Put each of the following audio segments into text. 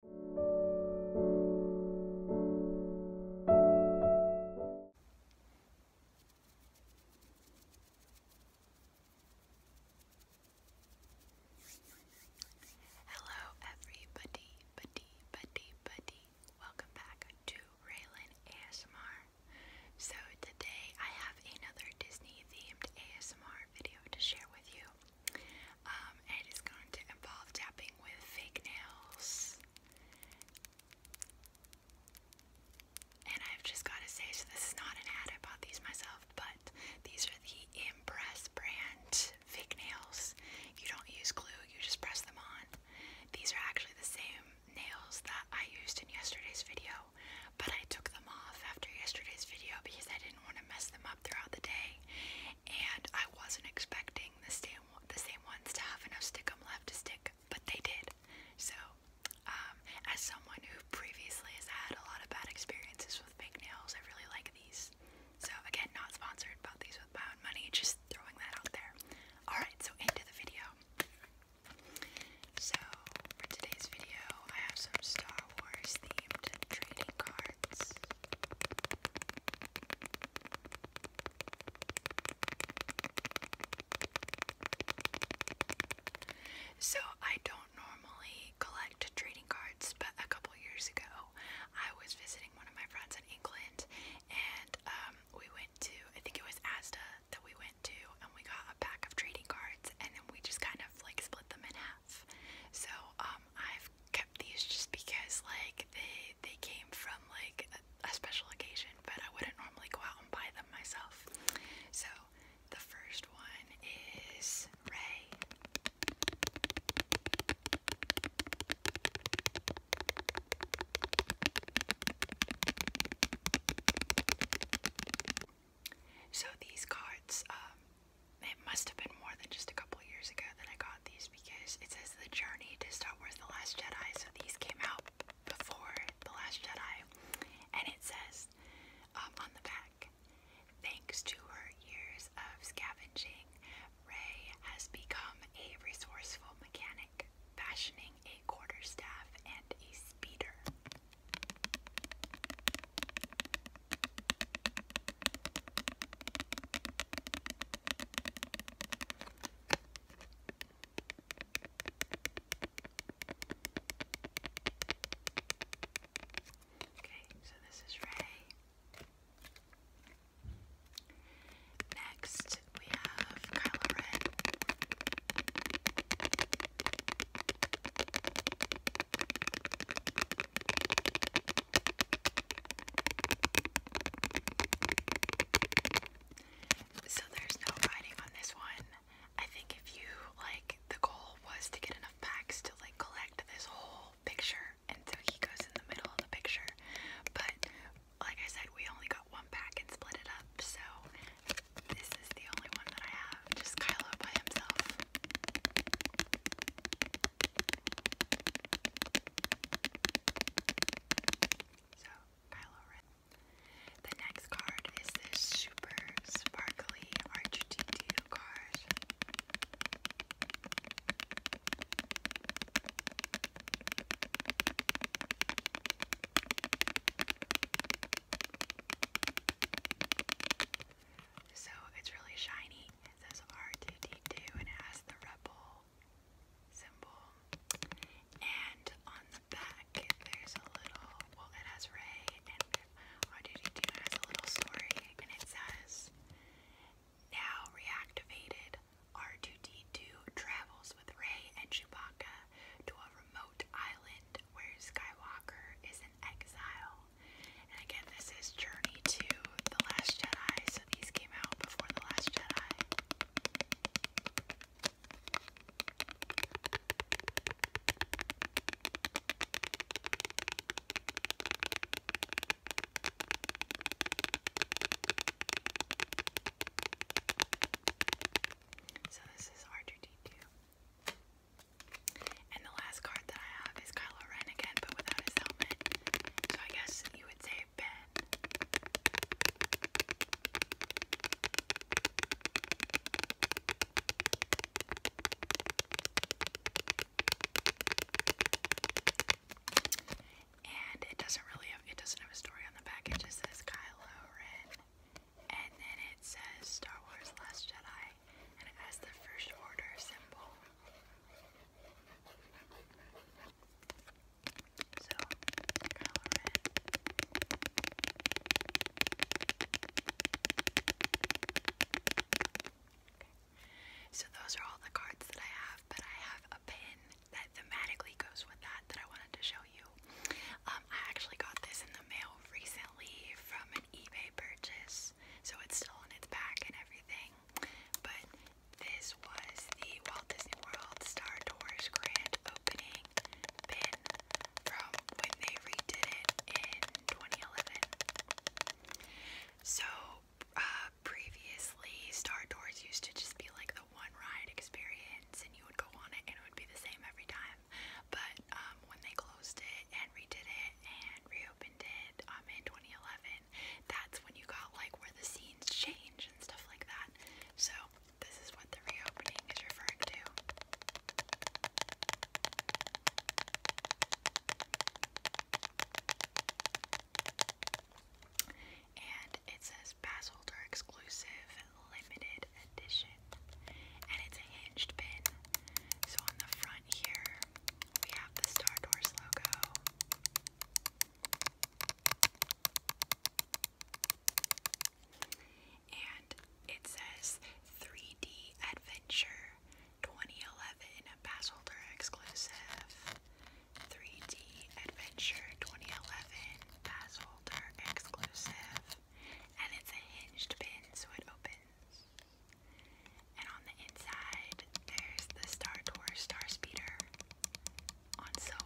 Hello, everybody, buddy, buddy, buddy. Welcome back to Raylan ASMR. So, today I have another Disney themed ASMR video to share with you. Um, it's going to involve tapping with fake nails. And I've just got to say, so this is not an ad, I bought these myself, but these are the Impress brand fake nails. You don't use glue, you just press them on. These are actually the same nails that I used in yesterday's video, but I took them off after yesterday's video because I didn't want to mess them up throughout the day. And I wasn't expecting the same the same ones to have enough stickum left to stick, but they did. So, um, as someone who previously has had a lot of bad experiences with fake nails, I really like these. So again, not sponsored. Bought these with my own money. Just throwing that out there. All right, so into the video. So for today's video, I have some Star Wars trading cards. So, I don't normally collect trading cards, but a couple years ago, I was visiting one of my friends in England, and um, we went to, I think it was Asda that we went to, and we got a pack of trading cards, and then we just kind of like split them in half. So, um, um, I've kept these just because like they they came from like a, special occasion, but I wouldn't normally go out and buy them myself. So the first one is Ray. So these cards, um, it must have been more than just a couple years ago that I got these because it says The Journey to Star Wars The Last Jedi. So these came out before The Last Jedi. And it says um, on the back, thanks to her years of scavenging, Rey has become a resourceful mechanic, fashioning a quarterstaff and a speeder. Okay, so this is Ray. Next, we have Kylo Ren. So there's no writing on this one. I think if you like the goal was to get enough packs to like collect this whole picture and so he goes in the middle of the picture. But like I said, we only got one pack and split it up, so this is the only one that I have, just Kylo by himself. So, Kylo Ren. The next card is this super sparkly r card. So it's really shiny it says R2D2 and has the rebel symbol. And on the back, there's a little, well, it has Ray and R2D2 has a little story and it says, Now reactivated, R2D2 travels with Ray and Chewbacca to a remote island where Skywalker is in exile. And again, this is Journey to The Last Jedi, so these came out before The Last Jedi. So this is R2D2. And the last card that I have is Kylo Ren again, but without his helmet. So I guess you would say Ben. And it doesn't really it doesn't have a story on the back. It just says Kylo Ren. And then it says Star Wars Last Jedi and it has the First Order symbol. So, those are all the cards that I have, but I have a pin that thematically goes with that that I wanted to show you. Um, I actually got this in the mail recently from an eBay purchase, so it's still in its pack and everything. But this was the Walt Disney World Star Tours grand opening from when they redid it in 2011. So, uh, previously, Star Tours used to just be like the one ride experience, and you would go on it and it would be the same every time. But um, when they closed it and redid it and reopened it um, in 2011, that's when you got like where the scenes change and stuff like that. So this is what the reopening is referring to. And it says pass exclusive limited edition. And it's a hinged pin. So on the front here, we have the Star Doors logo. And it says 3D Adventure 2011 Passholder Exclusive. 3D Adventure 2011 Passholder Exclusive. And it's a hinged pin, so it opens and on the inside, there's the Star Tours Star Speeder on silver.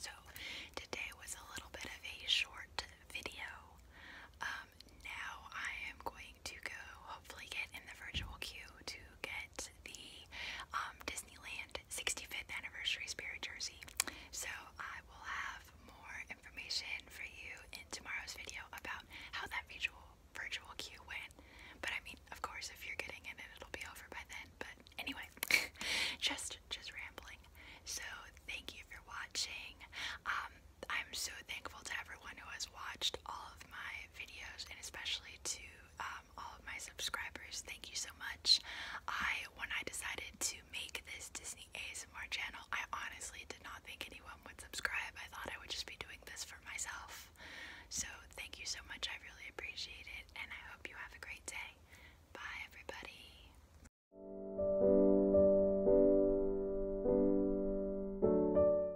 So, today was a little bit of a short video. Um, now I am going to go hopefully get in the virtual queue to get the um, Disneyland 65th anniversary spirit jersey. So I will have more information for you in tomorrow's video about how that virtual virtual queue went. But I mean, of course, if you're getting in it, it'll be over by then. But anyway, just just rambling. So thank you for watching. Um, I'm so thankful to everyone who has watched all of my videos and especially to um, all of my subscribers. Thank you so much. I, when I decided to make this Disney ASMR channel, I honestly did not think anyone would subscribe. I thought I would just be doing this for myself. So thank you so much. I really appreciate it and I hope you have a great day. Bye everybody.